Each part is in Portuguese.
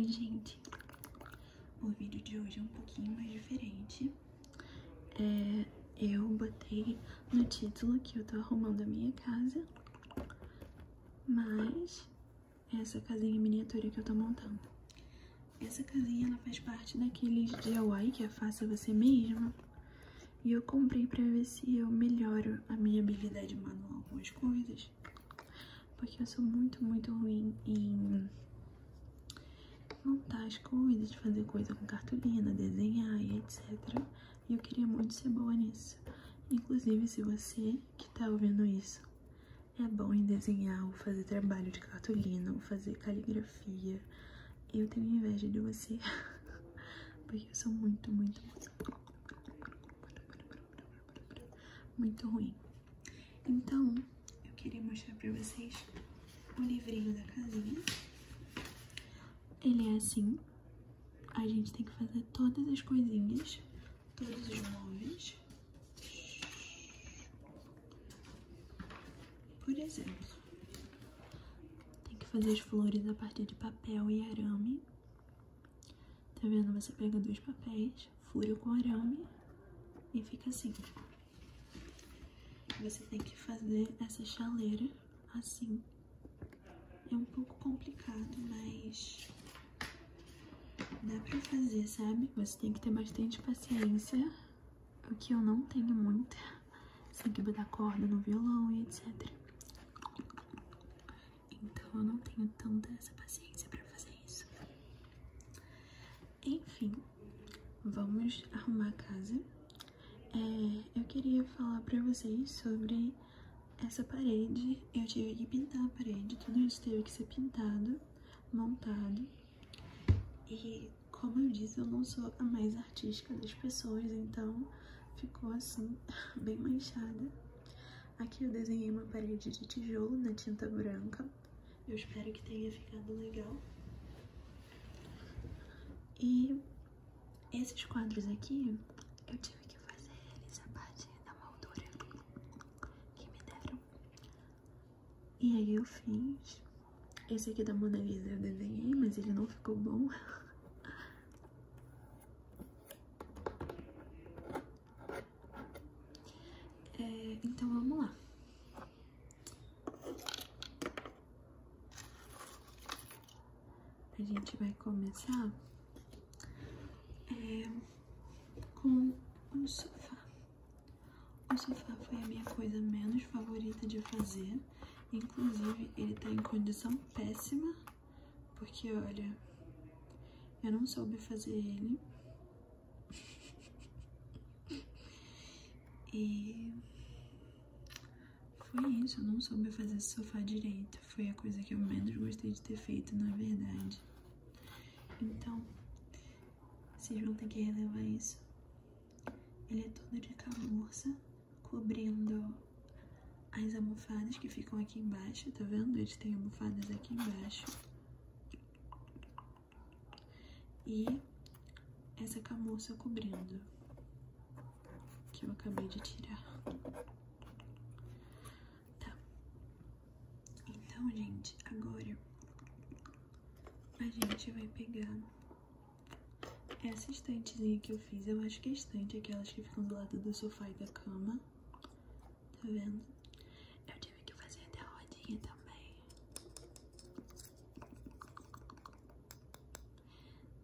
Oi, gente! O vídeo de hoje é um pouquinho mais diferente. É, eu botei no título que eu tô arrumando a minha casa, mas essa casinha miniatura que eu tô montando. Essa casinha ela faz parte daqueles DIY que é faça você mesma. E eu comprei pra ver se eu melhoro a minha habilidade manual com as coisas. Porque eu sou muito, muito ruim em montar as coisas, fazer coisa com cartolina, desenhar e etc. E eu queria muito ser boa nisso. Inclusive, se você que tá ouvindo isso é bom em desenhar ou fazer trabalho de cartolina ou fazer caligrafia, eu tenho inveja de você. Porque eu sou muito, muito, muito. Muito ruim. Então, eu queria mostrar para vocês o livrinho da casinha. Ele é assim. A gente tem que fazer todas as coisinhas, todos os móveis. Por exemplo, tem que fazer as flores a partir de papel e arame. Tá vendo? Você pega dois papéis, fura com arame e fica assim. Você tem que fazer essa chaleira assim. É um pouco complicado, mas dá pra fazer, sabe? Você tem que ter bastante paciência o que eu não tenho muito, sentido da corda no violão e etc. Então eu não tenho tanta essa paciência pra fazer isso. Enfim, vamos arrumar a casa. É, eu queria falar pra vocês sobre essa parede. Eu tive que pintar a parede, tudo isso teve que ser pintado, montado. E como eu disse, eu não sou a mais artística das pessoas, então ficou assim, bem manchada. Aqui eu desenhei uma parede de tijolo na tinta branca. Eu espero que tenha ficado legal. E esses quadros aqui, eu tive que fazer eles a partir da moldura que me deram e aí eu fiz. Esse aqui da Mona Lisa eu desenhei, mas ele não ficou bom. É, então vamos lá. A gente vai começar é, com um sofá. O sofá foi a minha coisa menos favorita de fazer. Inclusive, ele tá em condição péssima, porque, olha, eu não soube fazer ele. e foi isso, eu não soube fazer esse sofá direito. Foi a coisa que eu menos gostei de ter feito, na verdade. Então, vocês vão ter que relevar isso. Ele é todo de camurça, cobrindo as almofadas que ficam aqui embaixo, tá vendo? a gente tem almofadas aqui embaixo. E essa camurça cobrindo, que eu acabei de tirar. Tá. Então, gente, agora a gente vai pegar essa estantezinha que eu fiz. Eu acho que é estante, aquelas que ficam do lado do sofá e da cama. Tá vendo? Eu tive que fazer até a rodinha também.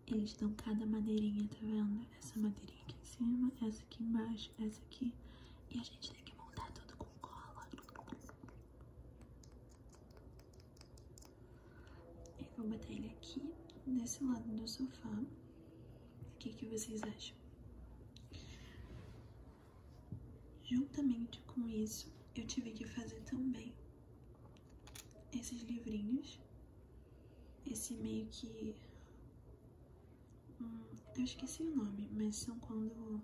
Eles dão cada madeirinha, tá vendo? Essa madeirinha aqui em cima, essa aqui embaixo essa aqui. E a gente tem que montar tudo com cola. Eu vou botar ele aqui, desse lado do sofá. O que, que vocês acham? Juntamente com isso, eu tive que fazer também esses livrinhos. Esse meio que Hum, eu esqueci o nome, mas são quando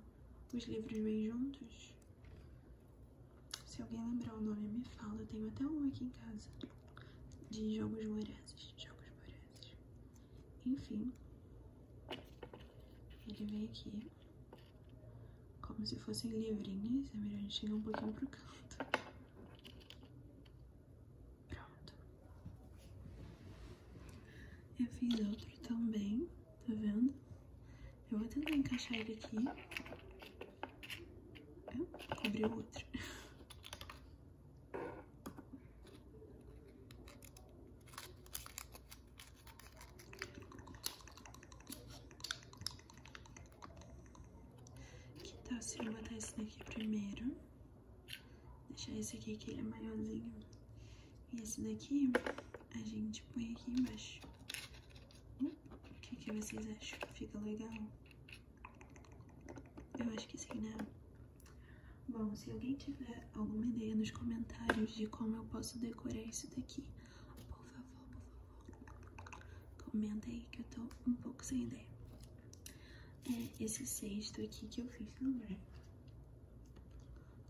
os livros vêm juntos. Se alguém lembrar o nome, me fala. Eu tenho até um aqui em casa. De jogos vorazes. Jogos vorazes. Enfim. Ele vem aqui. Como se fossem livrinhos. É melhor a gente chegar um pouquinho para o canto. Pronto. Eu fiz outro também, tá vendo? Eu vou tentar encaixar ele aqui. Eu cobri o outro. Que tal se eu botar esse daqui primeiro? Deixar esse aqui que ele é maiorzinho. E esse daqui a gente põe aqui embaixo. Hum, o que, vocês acham? Fica legal? Eu acho que sim, né? Bom, se alguém tiver alguma ideia nos comentários de como eu posso decorar isso daqui, por favor, por favor, comenta aí que eu tô um pouco sem ideia é esse cesto aqui que eu fiz no lugar.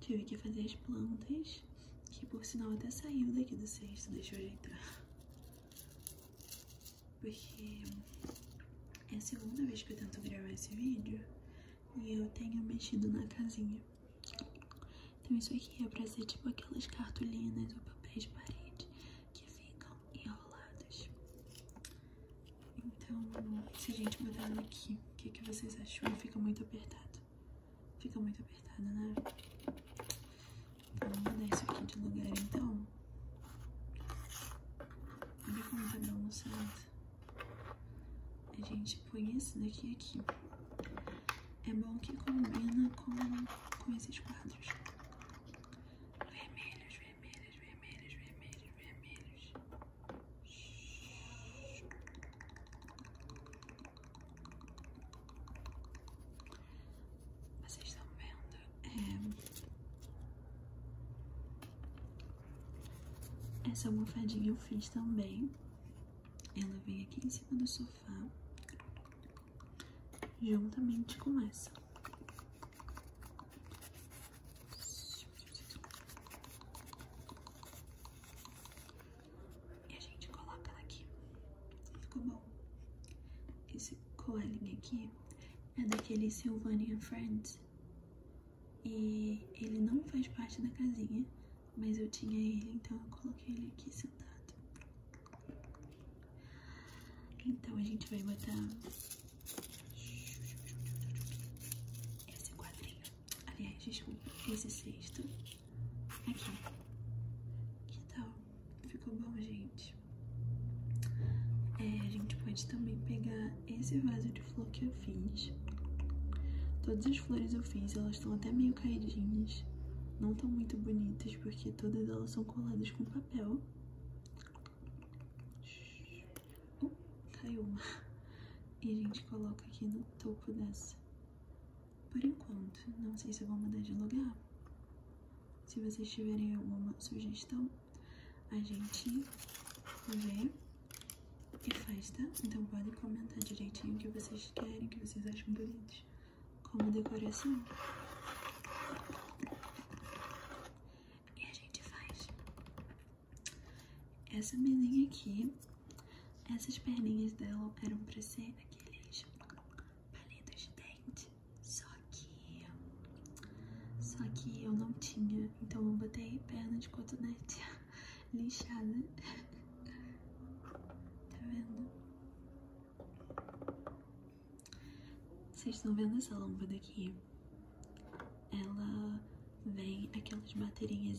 Tive que fazer as plantas, que por sinal até saiu daqui do cesto, deixa eu ajeitar. Porque é a segunda vez que eu tento gravar esse vídeo e eu tenho mexido na casinha. Então isso aqui é pra ser tipo aquelas cartolinas ou papéis de parede que ficam enrolados. Então, se a gente mudar ela aqui, o que, que vocês acham? Fica muito apertado. Fica muito apertado né? Vamos mudar isso aqui de lugar, então. Olha como tá balançado. A gente põe esse daqui aqui. É bom que combina com, com esses quadros. Vermelhos, vermelhos vermelhas, vermelhas, vermelhas, vermelhas. Vocês estão vendo? É. Essa almofadinha eu fiz também. Ela vem aqui em cima do sofá, juntamente com essa. E a gente coloca aqui. Ficou bom. Esse coelhinho aqui é daquele Sylvania Friends. E ele não faz parte da casinha, mas eu tinha ele, então eu coloquei ele aqui sentado. Então a gente vai botar esse quadrinho, aliás, desculpa, esse sexto aqui. Que tal? Ficou bom, gente? É, a gente pode também pegar esse vaso de flor que eu fiz. Todas as flores eu fiz, elas estão até meio caidinhas. Não estão muito bonitas porque todas elas são coladas com papel. Caiu uma. E a gente coloca aqui no topo dessa. Por enquanto, não sei se eu vou mudar de lugar. Se vocês tiverem alguma sugestão, a gente vê e faz, tá? Então podem comentar direitinho o que vocês querem, o que vocês acham bonitos como decoração. E a gente faz essa mesinha aqui. Essas perninhas dela eram pra ser aqueles palitos de dente. Só que. Só que eu não tinha. Então eu botei perna de cotonete lixada. Tá vendo? Vocês estão vendo essa lâmpada aqui? Ela vem aquelas baterinhas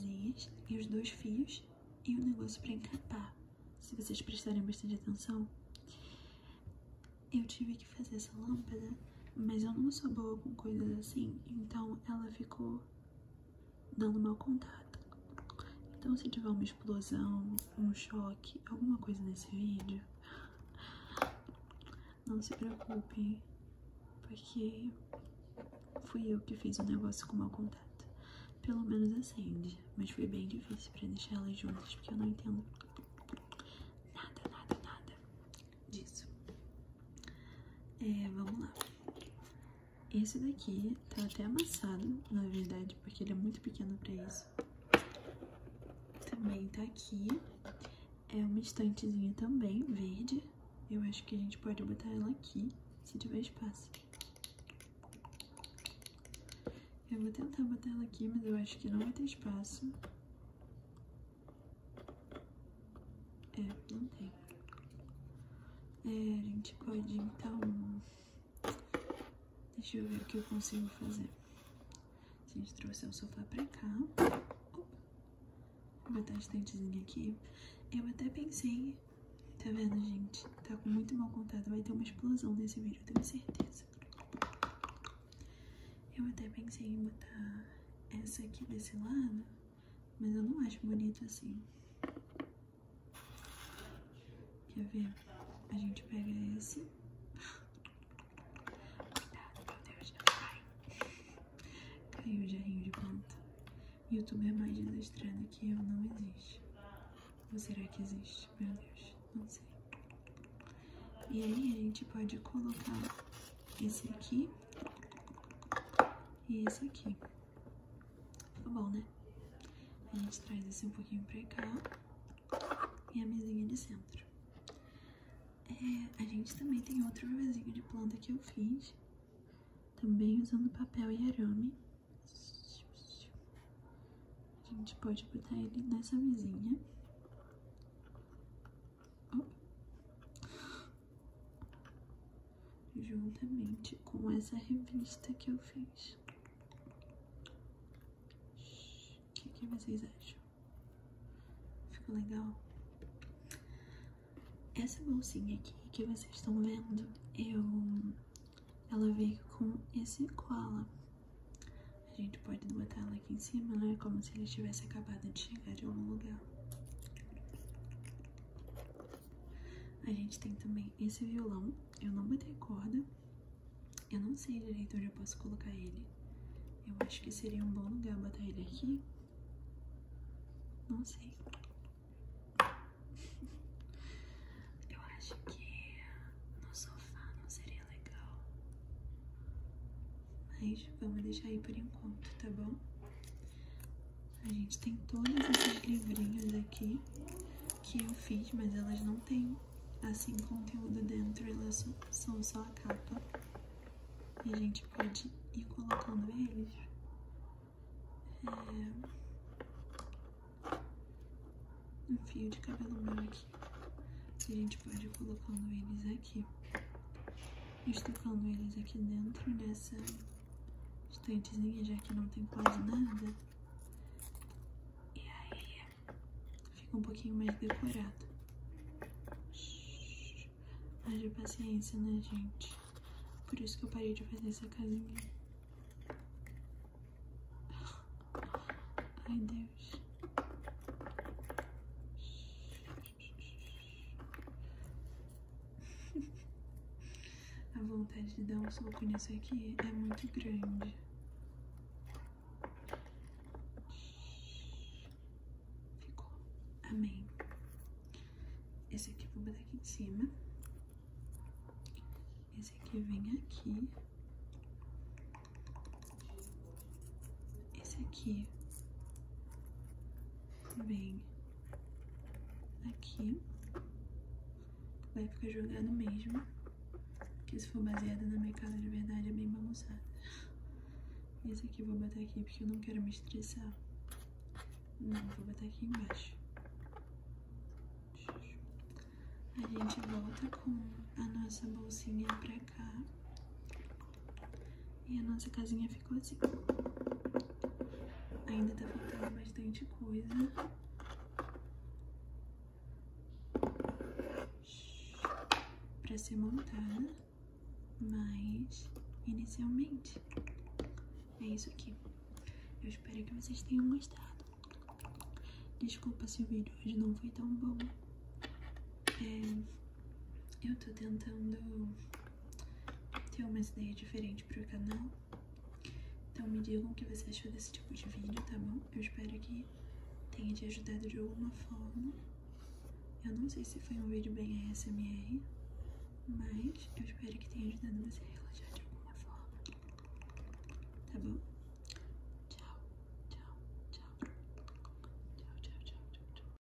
e os dois fios e o negócio para encapar. Se vocês prestarem bastante atenção, eu tive que fazer essa lâmpada, mas eu não sou boa com coisas assim, então ela ficou dando mau contato. Então, se tiver uma explosão, um choque, alguma coisa nesse vídeo, não se preocupem, porque fui eu que fiz o negócio com o mau contato. Pelo menos acende, mas foi bem difícil para deixar elas juntas, porque eu não entendo nada, nada, nada disso. É, vamos lá. Esse daqui tá até amassado, na verdade, porque ele é muito pequeno para isso. Também tá aqui. É uma estantezinha também, verde. Eu acho que a gente pode botar ela aqui, se tiver espaço. Eu vou tentar botar ela aqui, mas eu acho que não vai ter espaço. É, não tem. É, a gente pode, então, Deixa eu ver o que eu consigo fazer. A gente trouxe o sofá pra cá. vou botar a estantezinha aqui. Eu até pensei... Tá vendo, gente? Tá com muito mau contato. Vai ter uma explosão nesse vídeo, eu tenho certeza. Eu até pensei em botar essa aqui desse lado, mas eu não acho bonito assim. Quer ver? A gente pega esse. Cuidado, meu Deus, não vai. Caiu o jarrinho de planta. YouTube é mais desastrado que eu, não existe. Ou será que existe? Meu Deus, não sei. E aí a gente pode colocar esse aqui e esse aqui. Tá bom, né? A gente traz esse um pouquinho pra cá e a mesinha de centro. É, a gente também tem outro vivezinho de planta que eu fiz, também usando papel e arame. A gente pode botar ele nessa mesinha juntamente com essa revista que eu fiz. O que, vocês acham? Ficou legal? Essa bolsinha aqui que vocês estão vendo, eu ela veio com esse koala. A gente pode botar ela aqui em cima, né? Como se ele tivesse acabado de chegar de algum lugar. A gente tem também esse violão, eu não botei corda, eu não sei direito onde eu posso colocar ele. Eu acho que seria um bom lugar botar ele aqui. Não sei. Eu acho que no sofá não seria legal. Mas vamos deixar aí por enquanto, tá bom? A gente tem todos esses livrinhos aqui que eu fiz, mas elas não têm assim conteúdo dentro, elas são só a capa. E a gente pode ir colocando eles. É... Um fio de cabelo meu aqui. E a gente pode ir colocando eles aqui. Estocando eles aqui dentro dessa estantezinha, já que não tem quase nada. E aí fica um pouquinho mais decorado. Haja paciência, né, gente? Por isso que eu parei de fazer essa casinha. Ai, Deus. A vontade de dar um soco nisso aqui é muito grande. Ficou. Amém. Esse aqui eu vou botar aqui em cima. Esse aqui vem aqui. Esse aqui vem aqui, vai ficar jogado mesmo, porque se for baseada na minha casa de verdade é bem bagunçada. Esse aqui eu vou botar aqui porque eu não quero me estressar. Não, vou botar aqui embaixo. A gente volta com a nossa bolsinha pra cá. E a nossa casinha ficou assim. Ainda tá faltando bastante coisa. Pra ser montada. Mas, inicialmente, é isso aqui. Eu espero que vocês tenham gostado. Desculpa se o vídeo hoje não foi tão bom. É, eu tô tentando ter uma ideia diferente para o canal. Então me digam o que você achou desse tipo de vídeo, tá bom? Eu espero que tenha te ajudado de alguma forma. Eu não sei se foi um vídeo bem ASMR, mas eu espero que tenha ajudado você a relaxar de alguma forma. Tá bom? Tchau, tchau, tchau. Tchau, tchau, tchau, tchau.